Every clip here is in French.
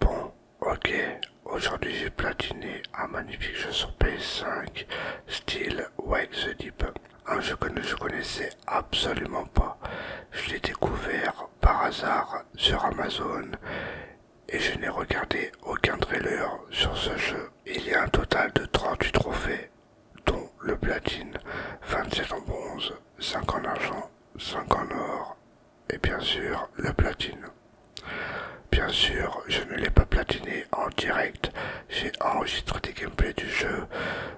Bon, ok, aujourd'hui j'ai platiné un magnifique jeu sur PS5, style Wake the Deep. Un jeu que je connaissais absolument pas. Je l'ai découvert par hasard sur Amazon et je n'ai regardé aucun trailer sur ce jeu. Il y a un total de 38 trophées, dont le platine, 27 en bronze, 5 en argent, 5 en or, et bien sûr le platine. Bien sûr, je ne l'ai pas platiné en direct, j'ai enregistré des gameplays du jeu,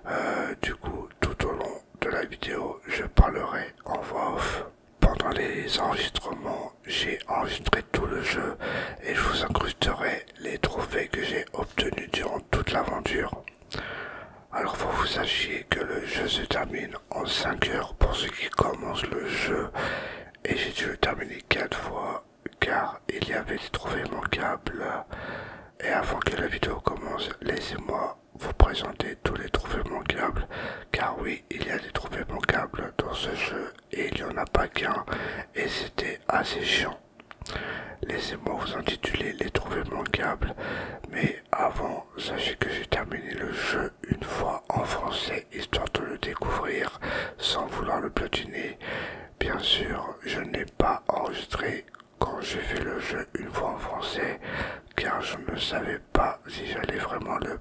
euh, du coup tout au long de la vidéo je parlerai en voix off pendant les enregistrements, j'ai enregistré tout le jeu et je vous incrusterai les trophées que j'ai obtenus durant toute l'aventure. Alors faut vous sachiez que le jeu se termine en 5 heures pour ceux qui commencent le jeu et j'ai dû le terminer 4 fois car il y avait des trophées manquables. Et avant que la vidéo commence, laissez-moi vous présenter tous les trophées manquables car oui, il y a des trouvées manquables dans ce jeu et il n'y en a pas qu'un et c'était assez chiant. Laissez-moi vous intituler les trouvées manquables, mais avant, sachez que j'ai terminé le jeu une fois en français, histoire de le découvrir sans vouloir le platiner. Bien sûr, je n'ai pas enregistré quand j'ai fait le jeu une fois en français, car je ne savais pas si j'allais vraiment le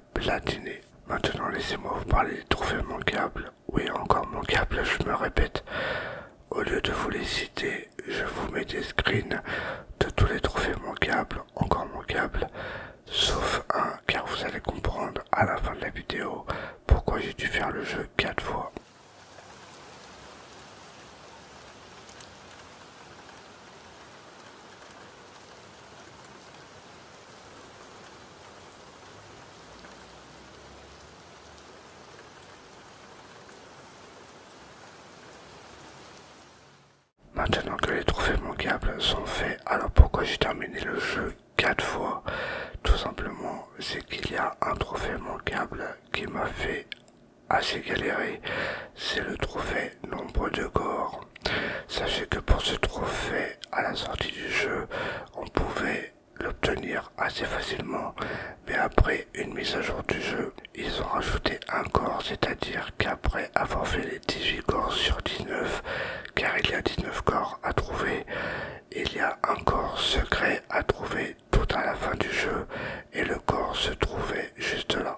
Maintenant, laissez-moi vous parler des trophées manquables. Oui, encore manquables, je me répète. Au lieu de vous les citer, je vous mets des screens de tous les trophées manquables, encore manquables, sauf un, car vous allez comprendre à la fin de la vidéo pourquoi j'ai dû faire le jeu quatre fois. Maintenant que les trophées manquables sont faits, alors pourquoi j'ai terminé le jeu 4 fois Tout simplement, c'est qu'il y a un trophée manquable qui m'a fait assez galéré, c'est le trophée nombre de corps. Sachez que pour ce trophée, à la sortie du jeu, on pouvait l'obtenir assez facilement, mais après une mise à jour du jeu, ils ont rajouté un corps, c'est-à-dire qu'après avoir fait les 18 corps sur 19, car il y a 19 corps à trouver, il y a un corps secret à trouver tout à la fin du jeu, et le corps se trouvait juste là.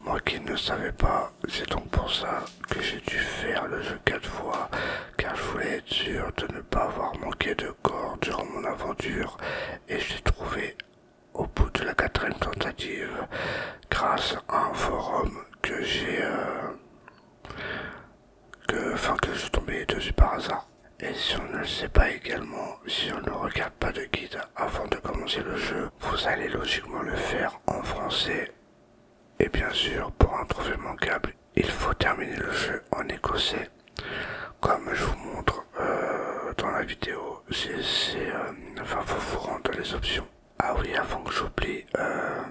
Moi qui ne savais pas, c'est donc pour ça que j'ai dû faire le jeu quatre fois, car je voulais être sûr de ne pas avoir manqué de corps durant mon aventure, et j'ai trouvé au bout de la quatrième tentative grâce à un forum que j'ai euh, que je suis tombé dessus par hasard et si on ne le sait pas également si on ne regarde pas de guide avant de commencer le jeu vous allez logiquement le faire en français et bien sûr pour un trophée manquable il faut terminer le jeu en écossais comme je vous montre euh, dans la vidéo, c'est, euh, enfin vous vous rendre les options. Ah oui, avant que j'oublie, euh,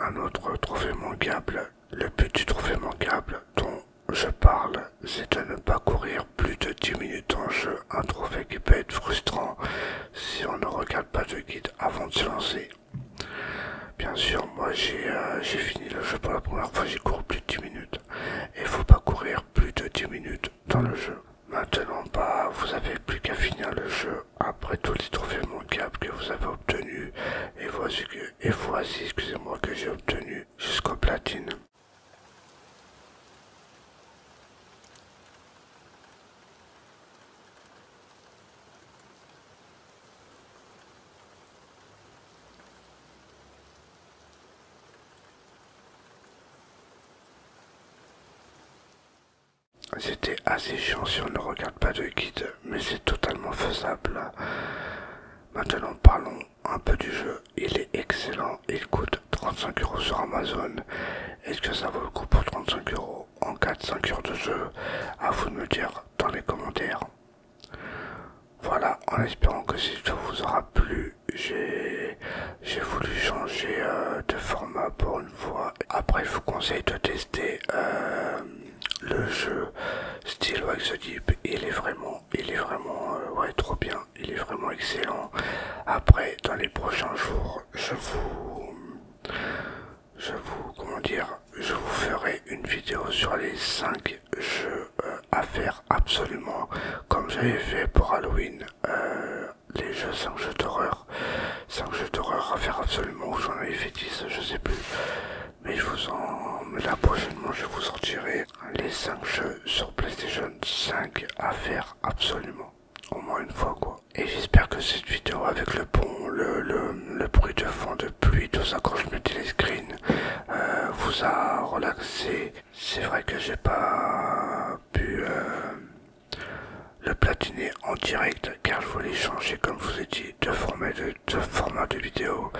un autre trophée manquable, le petit trophée manquable dont je parle, c'est de ne pas courir plus de 10 minutes en jeu, un trophée qui peut être frustrant si on ne regarde pas de guide avant de se lancer. Bien sûr, moi j'ai fini le jeu pour la première fois, j'ai couru plus de 10 minutes il faut pas courir plus de 10 minutes dans le jeu. Maintenant, pas bah, vous avez plus qu'à finir le jeu après tous les trophées manquables que vous avez obtenus. Et voici, que, et voici excusez-moi, que j'ai obtenu jusqu'au platine. C'était assez chiant si on ne regarde pas de guide, mais c'est totalement faisable. Maintenant parlons un peu du jeu. Il est excellent, il coûte 35 euros sur Amazon. Est-ce que ça vaut le coup pour 35 euros en 4-5 heures de jeu À vous de me dire dans les commentaires. Voilà, en espérant que cette vidéo vous aura plu, j'ai voulu changer euh, de format pour une fois. Après, je vous conseille de tester euh, le jeu style Deep. Il est vraiment, il est vraiment, euh, trop bien. Il est vraiment excellent. Après, dans les prochains jours, je vous, je vous, comment dire, je vous ferai une vidéo sur les 5 jeux euh, à faire absolument comme j'avais fait pour Halloween. Euh, les jeux 5 jeux d'horreur. 5 jeux d'horreur à faire absolument, ou j'en avais fait 10, je sais plus. Mais je vous en. Mais là prochainement, je vous sortirai les 5 jeux sur PlayStation 5 à faire absolument. Au moins une fois quoi. Et j'espère que cette vidéo avec le pont, le, bruit de fond de pluie, tout ça quand je mettais euh, vous a relaxé. C'est vrai que j'ai pas pu euh, le platiner en direct car je voulais changer comme vous ai dit de format de, format de vidéo.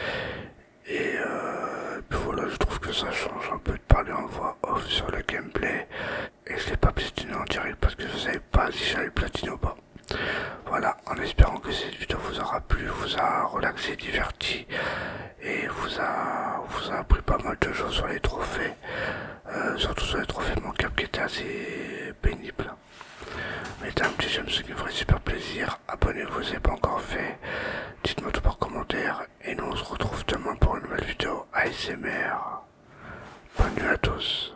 Et, euh, voilà, je trouve que ça change un peu de parler en voix off sur le gameplay. Et je l'ai pas platiné en direct parce que je savais pas si j'allais platiner ou pas. Voilà en espérant que cette vidéo vous aura plu, vous a relaxé, diverti et vous a, vous a appris pas mal de choses sur les trophées, euh, surtout sur les trophées manquables qui étaient assez pénibles Mettez un petit j'aime, ce qui me ferait super plaisir. Abonnez-vous si ce n'est pas encore fait. Dites-moi tout par commentaire. Et nous, on se retrouve demain pour une nouvelle vidéo ASMR. Bonne nuit à tous.